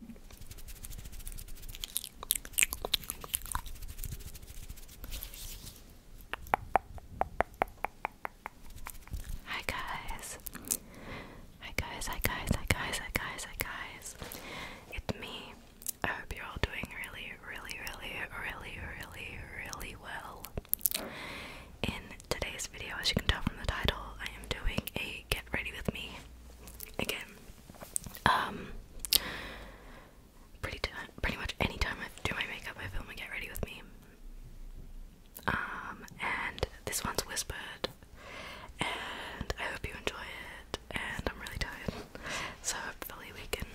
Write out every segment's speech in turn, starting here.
Hi guys. Hi guys, hi guys, hi guys, hi guys, It's me. I hope you're all doing really, really, really, really, really, really well. In today's video, as you can tell from the title, I am doing a get ready with me again. Um, pretty pretty much any time I do my makeup, I film and get ready with me. Um, and this one's whispered, and I hope you enjoy it. And I'm really tired, so hopefully we can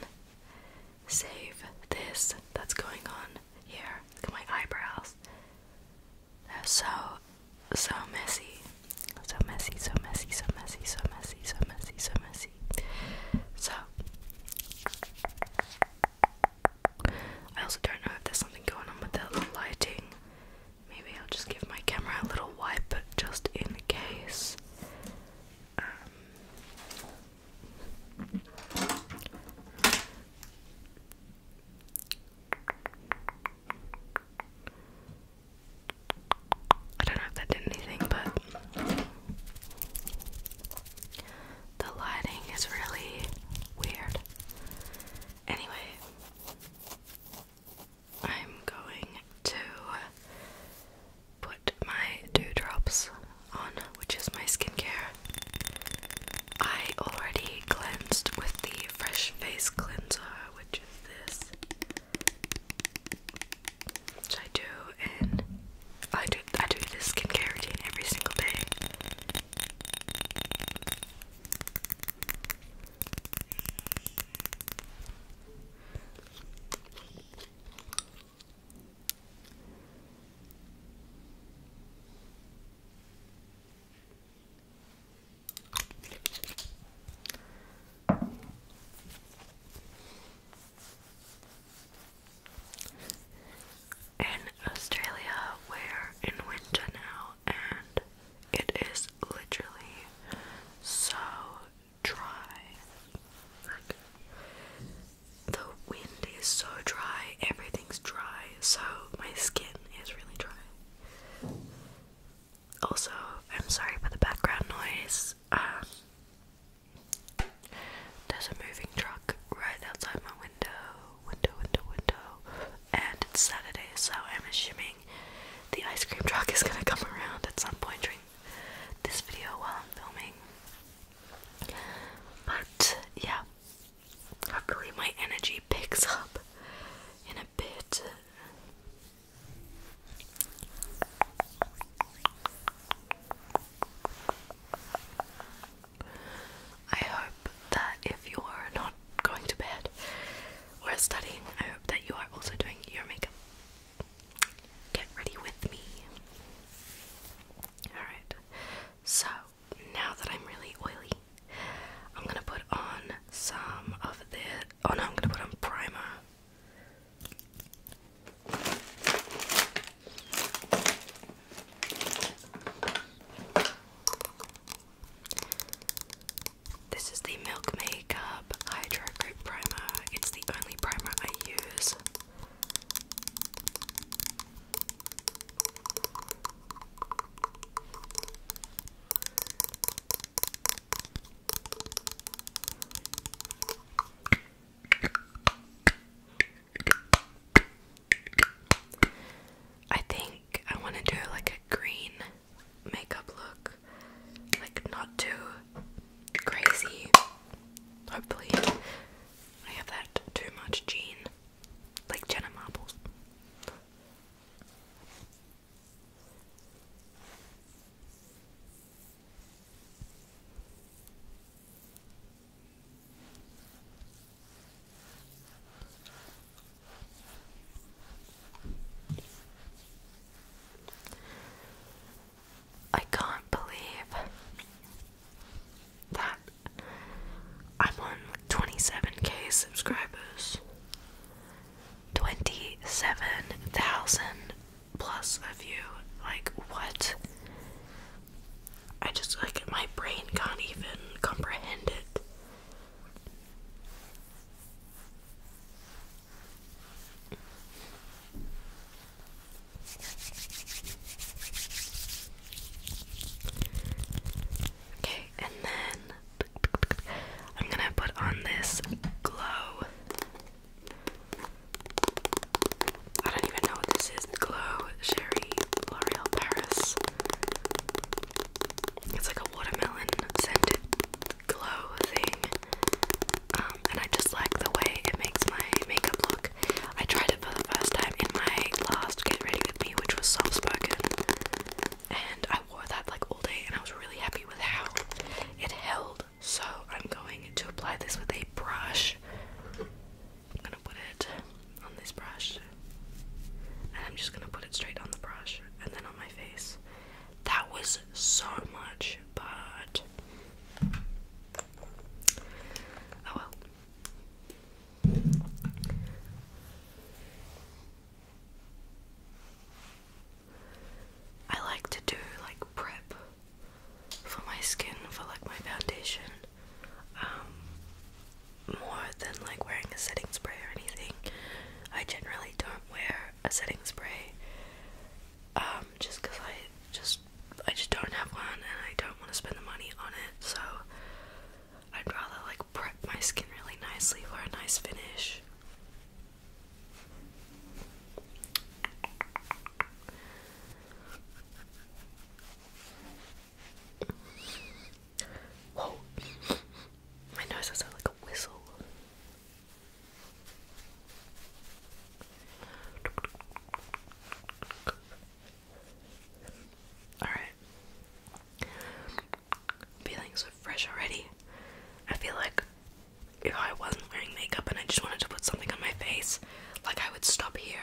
save this that's going on here. Look at my eyebrows they so, so messy. So messy, so messy, so messy, so messy, so messy, so messy. So, I also don't know if there's something going on with the lighting. Maybe I'll just give my camera a little wipe just in case. Um, I don't know if that did anything, but the lighting is really weird. Anyway, I'm going to put my drops on, which is my skincare. I already cleansed with the Fresh Face Cleanser, which which I do, and I do I do this skincare routine every single day. In Australia, we're in winter now, and it is literally so dry. the wind is so dry, everything's dry, so my skin is really dry. Also, I'm sorry for the background noise. Um, there's a moving truck right outside my window, window, window, window, and it's Saturday, so I'm assuming the ice cream truck is gonna come around at some point during this video while I'm filming. But yeah, hopefully my energy picks up in a bit I hope that if you're not going to bed or studying, I hope that you are also doing your makeup. Get ready with me. Alright, so now that I'm really oily, I'm gonna put on some of the. Oh no, I'm gonna put on primer. This is the Milk Makeup Hydro Grip Primer. It's the only primer I use. I think I want to do like a green makeup look, like not too crazy. Hopefully, I have that too much gene, like Jenna Marbles. I can't believe that I'm on 27k subscribers. 27,000 plus of you. Like, what? I just, like, my brain can't even comprehend it. Okay, and then I'm gonna put on this glow. I don't even know this is. Glow Sherry L'Oreal Paris. It's like a watermelon scented glow thing. Um, and I just like the way it makes my makeup look. I tried it for the first time in my last Get Ready With Me, which was soft spoken and I wore that like all day and I was really happy with how it held. So I'm going to apply this with a brush. I'm gonna put it on this brush and I'm just gonna put it straight on the brush and then on my face. That was so much, but oh well. I like to do like prep for my skin for like my foundation um, more than like wearing a setting spray or anything. I generally don't wear a setting spray um, just cuz I just I just don't have one and I don't want to spend the money on it. So I'd rather like prep my skin really nicely for a nice finish. Whoa, my nose has like a whistle. All right. Feelings am fresh already. I feel like if I wasn't wearing makeup and I just wanted to put something on my face, like I would stop here.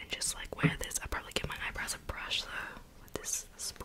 And just like wear this. I probably give my eyebrows a brush though with this spoolie.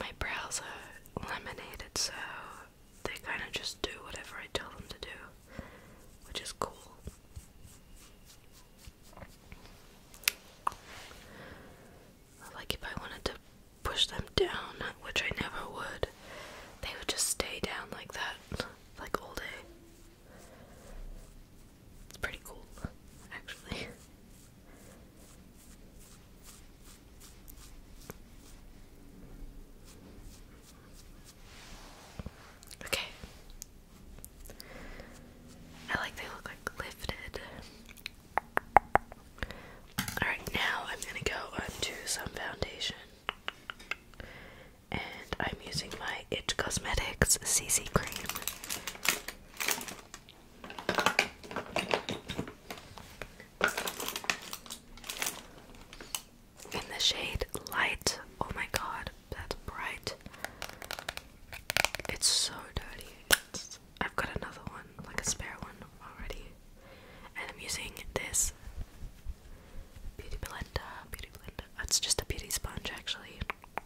My brows are laminated, so they kind of just do whatever I tell them to do, which is cool. Like, if I wanted to push them down, which I never would, they would just stay down like that, like all day. It's pretty cool, actually. Okay. I like they look like lifted. Alright, now I'm gonna go onto some foundation. And I'm using my Itch Cosmetics CC cream. In the shade light, oh my god, that's bright. It's so dirty. I've got another one, like a spare one already. And I'm using this beauty blender, beauty blender. It's just a beauty sponge actually.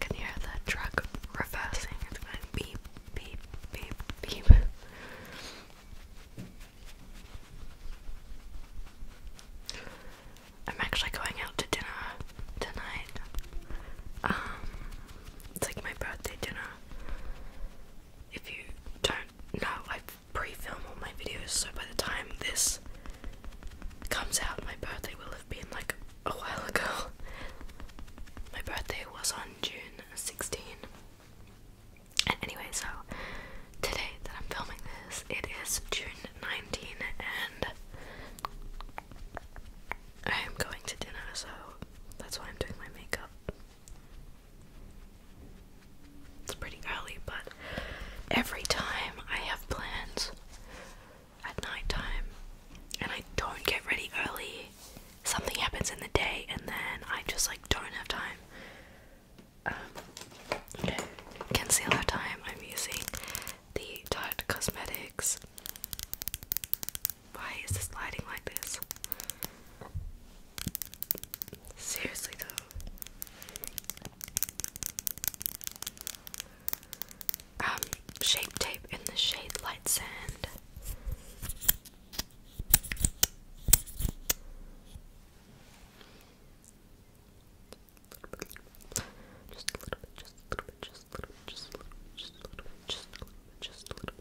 Can hear that truck reversing? It's going beep, beep, beep, beep. I'm actually going out to dinner tonight. Um, it's like my birthday dinner if you don't know, I pre-film all my videos, so by the time this comes out, my birthday will have been like a while ago. My birthday was on June 16. And anyway, so today that I'm filming this, it is June 19, and I am going to dinner, so that's why I'm doing my makeup. It's pretty early, but every time I have plans at night time and I don't get ready early, something happens in the day and then I just like don't have time. Um, Concealer time. I'm using the Tarte Cosmetics. Why is this lighting like this? Seriously though. Um, shape tape in the shade light sand. Just a little bit, just a little bit, just a little bit, just a little bit, just a little bit, just a little bit, just a little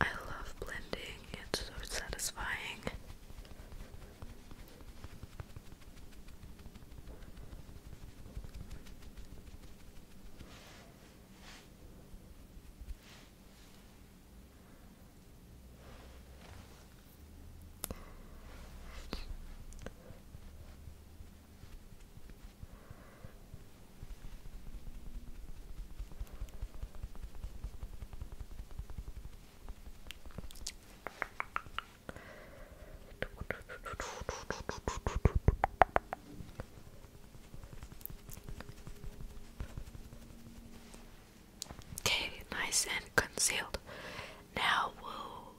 I love blending, it's so satisfying. Okay, nice and concealed. Now we'll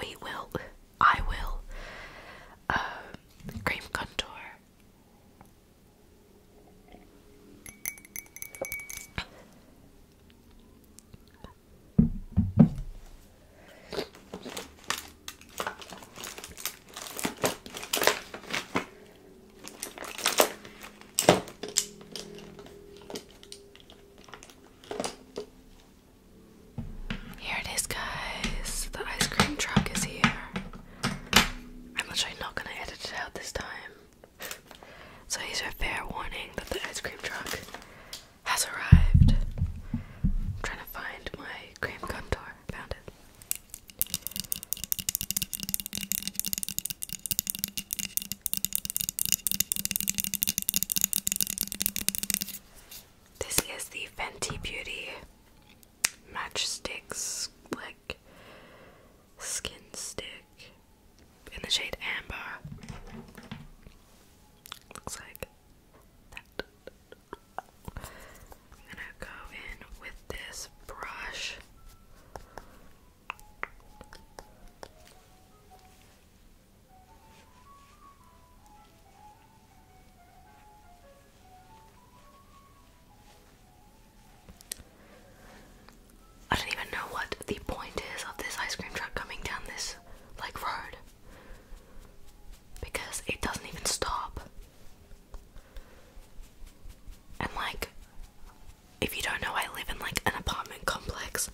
we will, I will, uh, cream contour. Here it is, guys. The ice cream truck is here. I'm literally not gonna edit it out this time. So here's a fair warning that the ice cream truck has arrived. I'm trying to find my cream contour. Found it. This is the Fenty Beauty Matchsticks, like skin stick in the shade Amber. Looks like I'm gonna go in with this brush. I don't even know what the point is of this ice cream truck coming down this like road because it doesn't even stop. And like if you don't know I live in like an apartment complex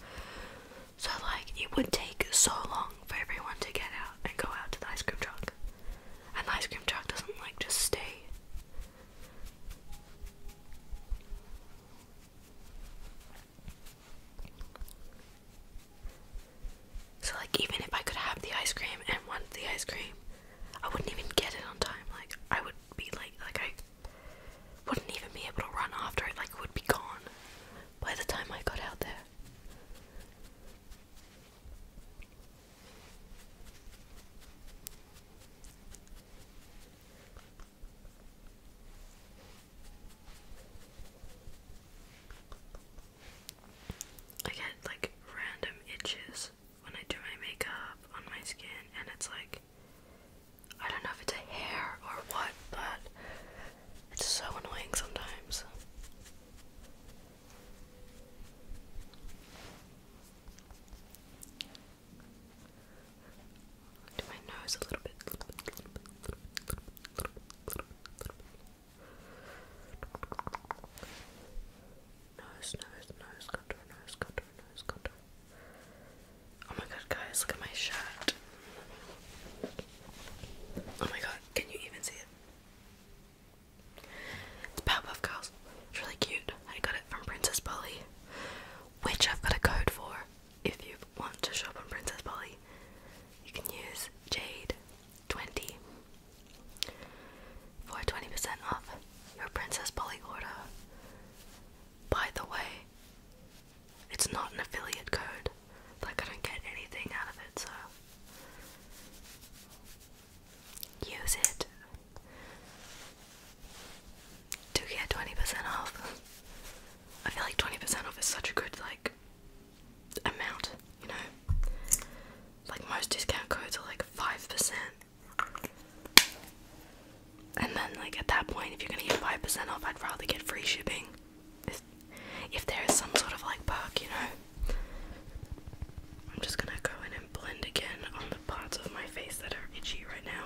so, like, it would take so long for everyone to get out and go out to the ice cream truck. And the ice cream truck doesn't, like, just stay. So, like, even if I could have the ice cream and want the ice cream, I wouldn't even get it on time. Like, I would be like, like, I wouldn't even be able to run after it, like, would be gone by the time I got out there. I get like random itches when I do my makeup on my skin, and it's like I don't know if it's a hair or what, but it's so annoying sometimes. Do my nose a little bit, Nose, nose, nose, contour, nose, contour, nose, contour. Oh my god, guys, look at my shirt. Oh my god, can you even see it? It's Powerpuff Girls. It's really cute. I got it from Princess Polly, which I've got a code for. If you want to shop on Princess Polly, you can use Jade20 for 20% off your Princess Polly order. By the way, it's not an affiliate code. Like, I don't get anything out of it, so. Use it. to get 20% off. I feel like 20% off is such a good, like, amount, you know? Like, most discount codes are like 5%. And then, like, at that point, if you're gonna get 5% off, I'd rather get free shipping if, there is some sort of like bug, you know. I'm just gonna go in and blend again on the parts of my face that are itchy right now.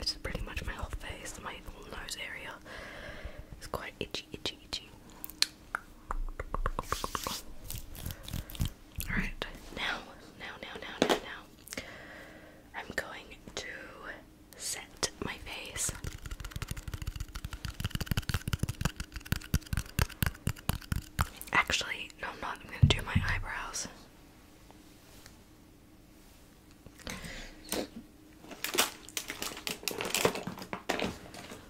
This is pretty much my whole face, my whole nose area. It's quite itchy, itchy, itchy. Alright, now, now, now, now, now, now. I'm going to set my face. Actually, no, I'm not. I'm going to do my eyebrows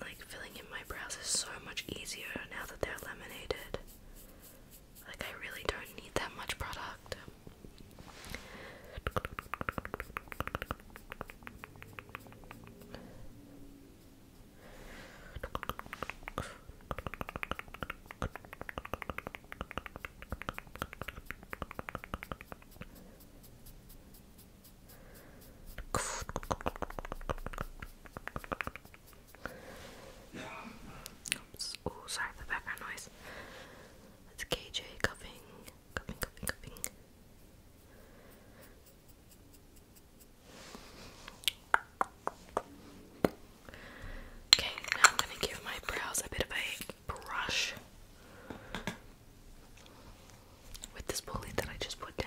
like, filling in my brows is so much easier now that they're laminated. Like, I really don't need that much product. Oh, sorry the background noise. It's KJ cuffing, cuffing, cuffing, Okay, now I'm gonna give my brows a bit of a brush with this bullet that I just put down.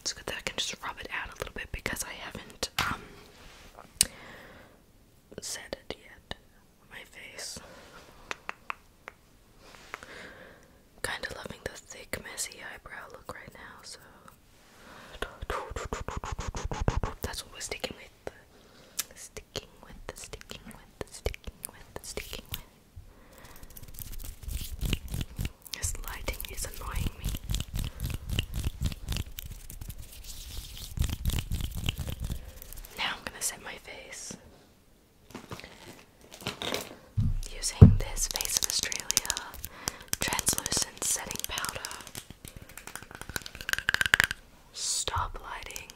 It's good that I can just rub it out a little bit because I haven't um set it yet. My face. Kinda loving the thick, messy eyebrow look right now, so that's what we're sticking with. Sticking with, sticking with, sticking with, sticking with. This lighting is annoying me. Now I'm gonna set my face using this Face of Australia translucent setting powder. Stop lighting.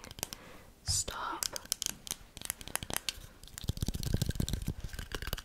Stop.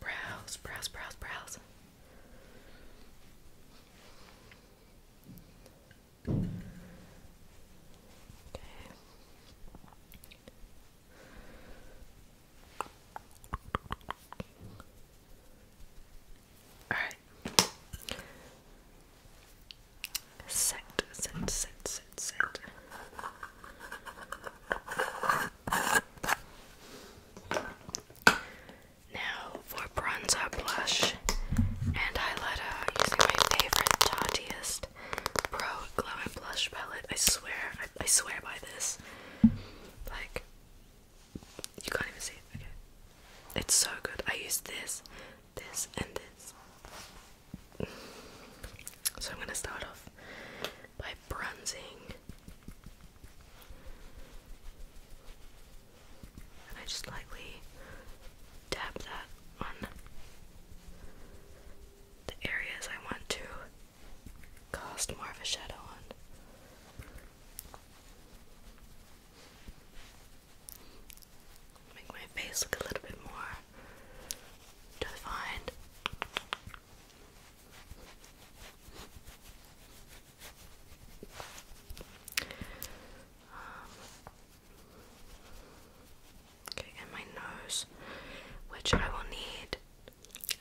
brows, brows, brows, brows. Okay. All right. Set, set, set, set, set. Now for bronzer, blush, and highlighter using my favorite Tatiest Pro Glow Blush palette. I swear, I swear by this. Like, you can't even see it. Okay. It's so good. I use this, this, and this. So I'm gonna start off by bronzing. And I just lightly dab that on the areas I want to cast more of a shadow on. Make my face look a little bit more defined okay, and my nose, which I will need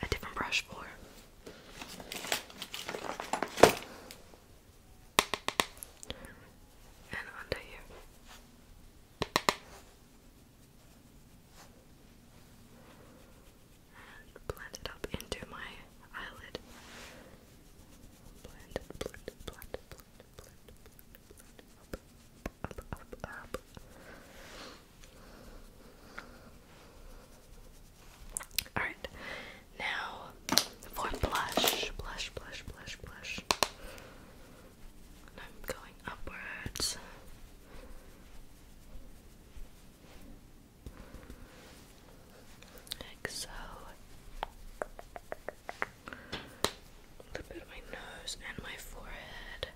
a different brush for. And under here blend it up into my eyelid. Alright, now for blush, blush, blush, blush, blush. I'm going upwards like so. A bit of my nose and my forehead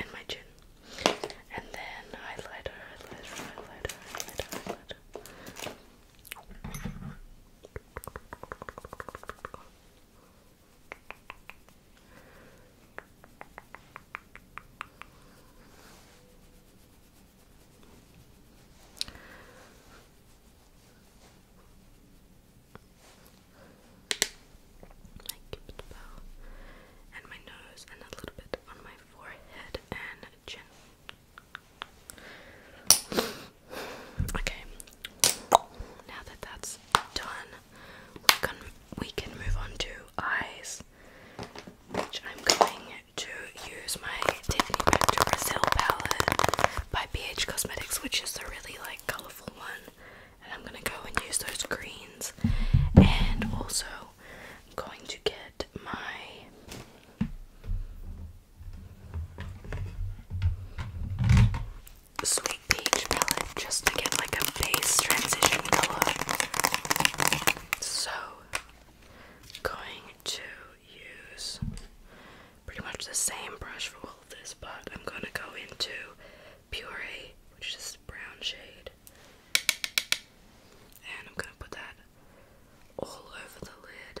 and my chin. And then highlighter, highlighter, highlighter, highlighter. My cupid and my nose and a little bit on my forehead and chin. Okay. Now that that's done, we can we can move on to eyes, which I'm going to use my Tiffany Back to Brazil palette by BH Cosmetics, which is the really like colourful one. And I'm gonna go and use those greens, and also I'm going to get my sweet peach palette just to get like a base transition color. So, going to use pretty much the same brush for all of this, but I'm gonna go into Puree, which is this brown shade, and I'm gonna put that all over the lid.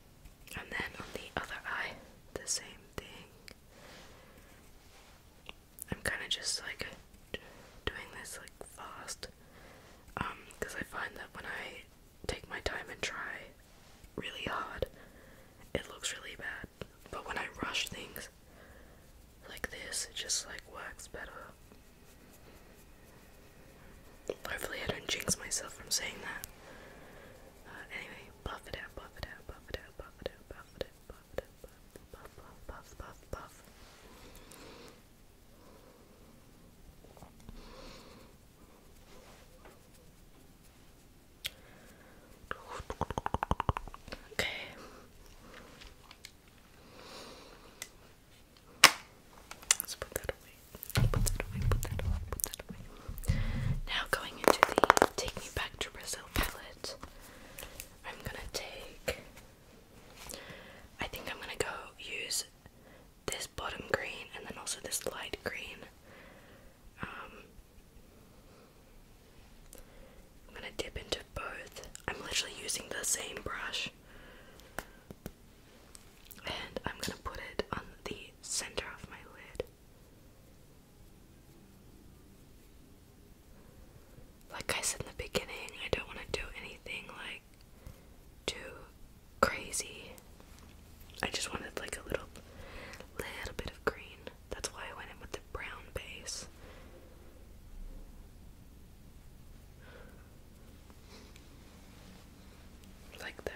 and then on the other eye, the same thing. I'm kind of just like doing this like fast because um, I find that when I take my time and try really hard it looks really bad but when I rush things like this it just like works better hopefully I don't jinx myself from saying that uh, anyway you buff it out, buff it out, buff it out, buff it out, buff it out, buff it out, buff it out, buff, buff, buff, buff, buff. Okay. Let's put that away. Put that away. Put that away. Put that away. Now going into the Take Me Back to Brazil palette, I'm gonna take. I think I'm gonna go use this bottom green and then also this light green. Um, I'm gonna dip into both. I'm literally using the same brush. And I'm gonna put it on the center of my lid. Like I said in the beginning, I don't want to do anything like too crazy. I just wanted like a little little bit of green. That's why I went in with the brown base. Like that.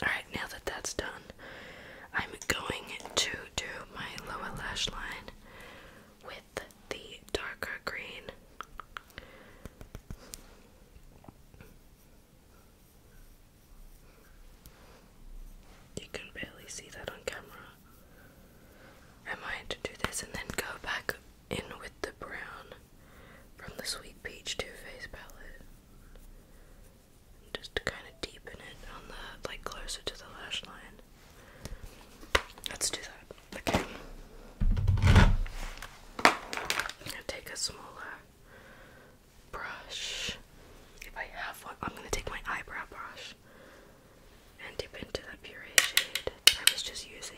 Alright, now that that's done, I'm going to do my lower lash line with the darker green. You can barely see that on camera. I might do this and then go back in with the brown from the Sweet Peach two face palette. just to kind of deepen it on the, like closer to the lash line. Let's do that. Okay. I'm gonna take a smaller brush. If I have one, I'm gonna take my eyebrow brush and dip into that puree shade I was just using.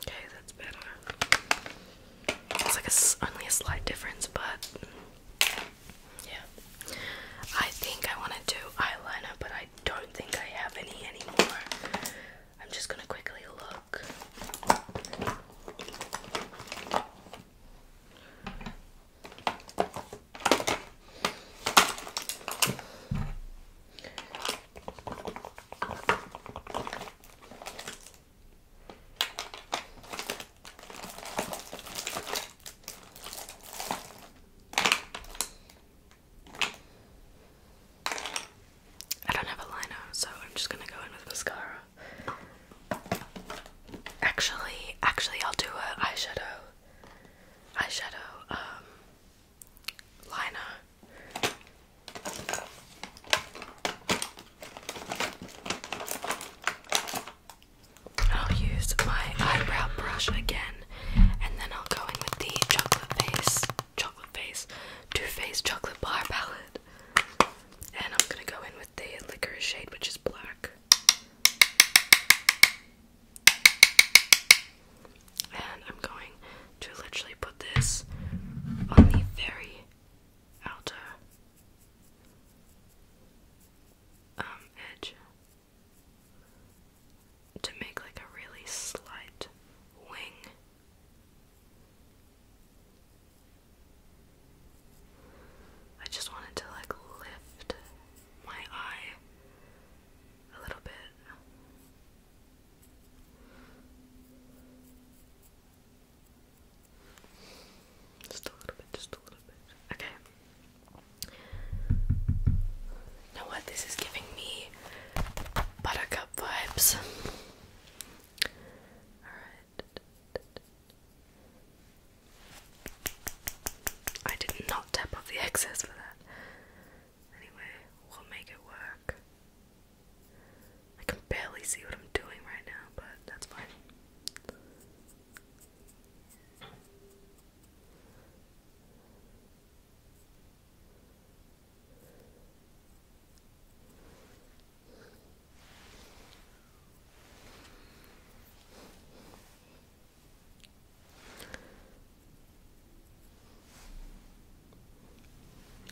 Okay, that's better. It's like only a slight difference, but yeah. I think I want to do eyeliner, but I don't think I have any anymore. I'm just going to quickly look. I don't have a liner, so I'm just gonna go in with mascara. Actually, actually, I'll do a eyeshadow, eyeshadow, um, liner. I'll use my eyebrow brush again, and then I'll go in with the chocolate face chocolate face Too Faced chocolate bar palette. And I'm gonna go in with the liquor shade, which is black. And I'm going to literally put this on the very outer um, edge to make like a really slight wing. I just wanted to like lift my eye a little bit. Just a little bit, just a little bit. Okay. You know what? This is giving me buttercup vibes. Alright. I did not tap off the excess for that. Anyway, we'll make it work. I can barely see what I'm doing right now, but that's fine.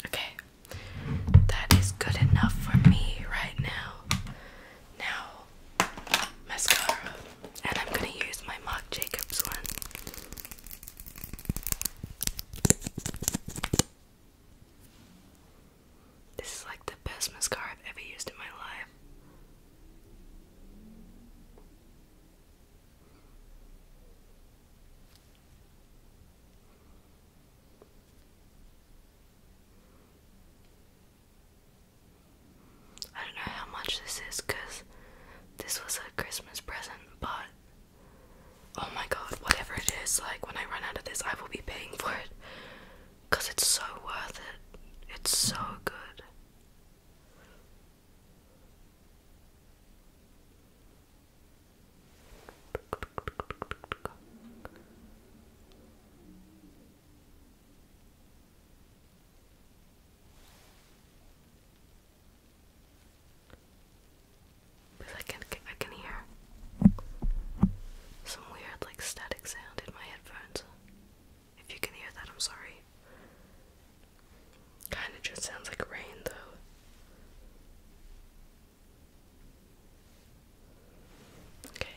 Okay, that is good enough for me right now. Now, mascara, and I'm gonna use my Marc Jacobs one. This is like the best mascara I've ever used in my life. I don't know how much this is because this was a Christmas present, but Oh my god, whatever it is, like when I run out of this, I will be paying for it. Because it's so worth it. It's so good. Because I can, I can hear some weird, like, static sound in my headphones. If you can hear that, I'm sorry. Kinda just sounds like rain, though. Okay.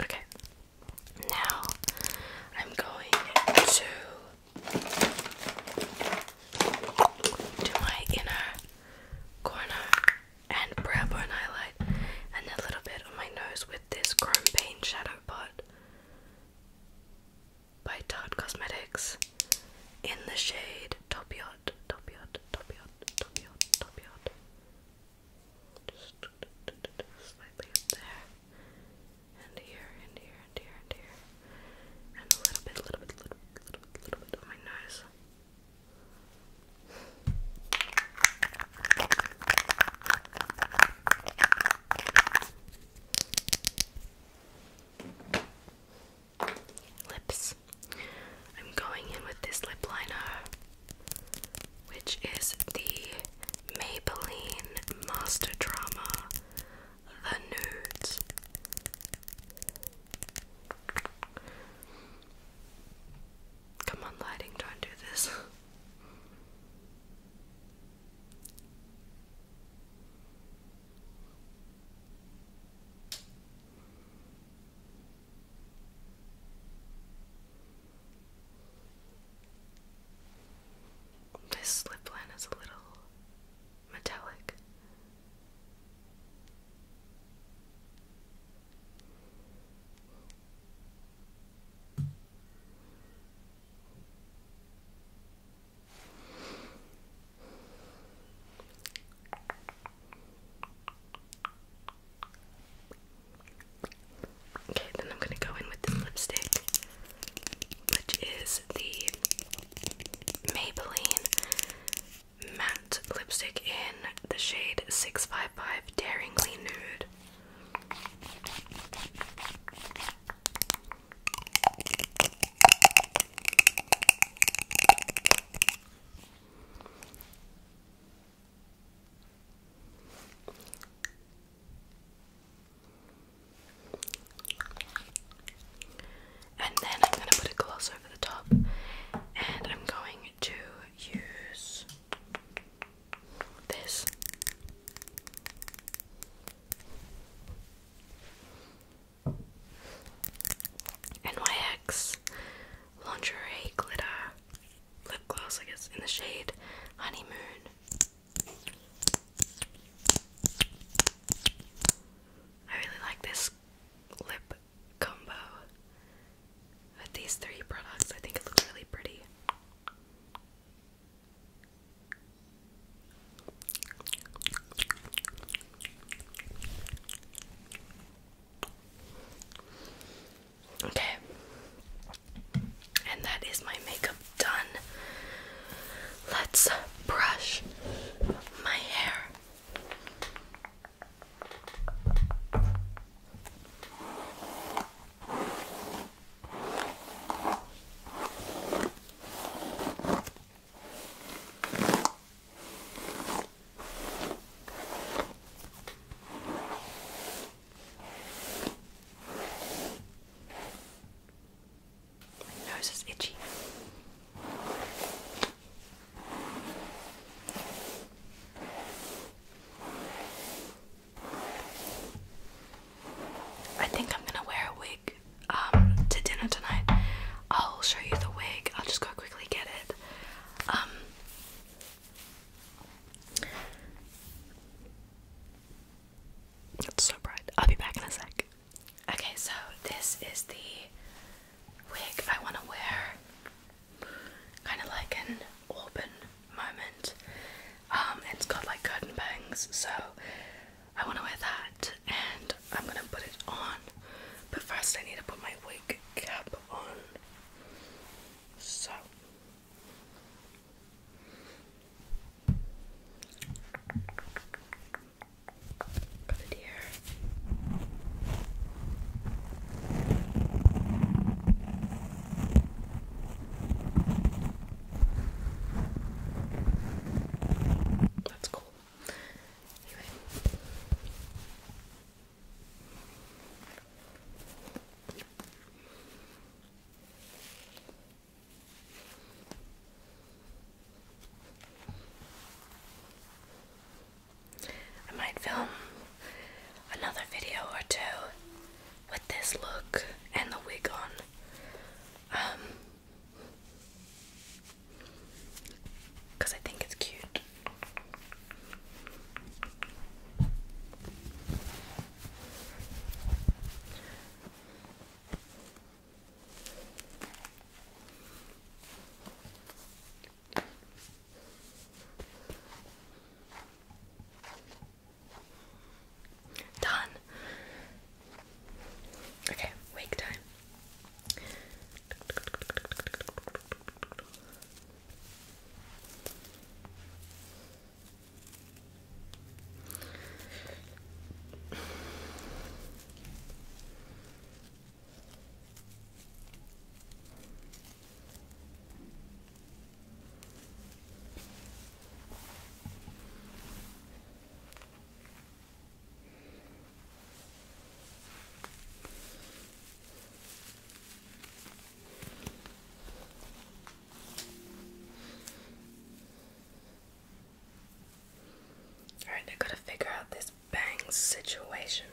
Okay, now I'm going to do my inner corner and brow bone highlight and a little bit on my nose with this chrome paint shadow pot by Tarte Cosmetics in the shade Topiot, Topiot, Topiot, Topiot, Topiot. slightly up there, and here, and here, and here, and here, and a little bit, a little bit, a little bit, little bit, little bit on my nose. Lips. I'm going in with this lip liner, which is the Maybelline Master Drama The Nudes. Come on, lighting, don't do this. This lip line is a little metallic. Okay, then I'm gonna go in with this lipstick, which is the Maybelline matte lipstick in the shade 655 Daringly Nude. And then I'm going to put a gloss over the top, and I'm going to use this. NYX Lingerie Glitter Lip Gloss, I guess, in the shade Honeymoon. I really like this lip combo these three products. I think it really pretty. Okay, and that is my makeup done. Let's brush my hair. My nose is itchy. I think I'm gonna wear a wig um, to dinner tonight. I'll show you the wig. I'll just go quickly get it. Um, it's so bright. I'll be back in a sec. Okay, so this is the wig I want to wear. Kind of like an auburn moment. Um, it's got like curtain bangs, so I want to wear that, and I'm gonna put it on. But first, I need to put my wig cap on. So. Got it here. That's cool. Anyway. I might film another video or two with this look and the wig on. Um, because I think it's cute. Done. Okay, wake time. Alright, I gotta figure out this bang situation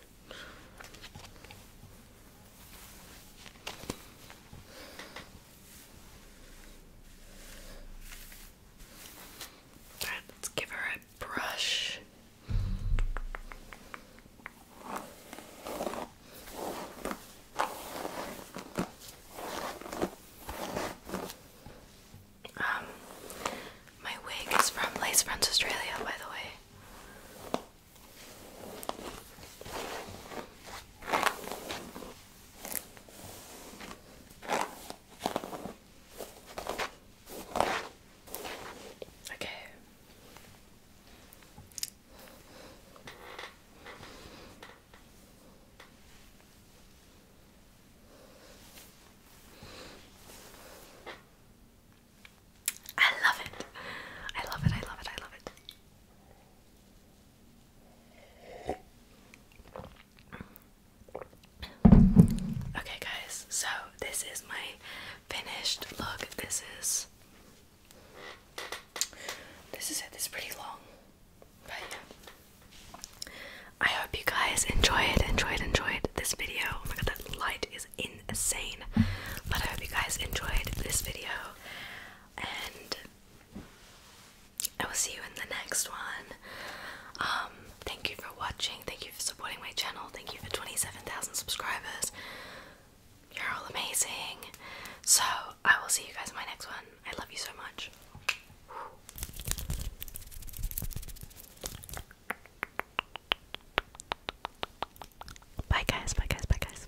let's give her a brush. Um, my wig is from Lace Friends Australia, by the way. Okay. I love it. I love it. I love it. I love it. Okay, guys, so this is my finished look. This is this is it. This is pretty long, but yeah. I hope you guys enjoyed, enjoyed, enjoyed this video. Oh my god, that light is insane. But I hope you guys enjoyed this video and I will see you in the next one. Um, thank you for watching. Thank you for supporting my channel. Thank you for 27,000 subscribers. You're all amazing. So, I will see you guys in my next one. I love you so much. Bye guys, bye guys, bye guys.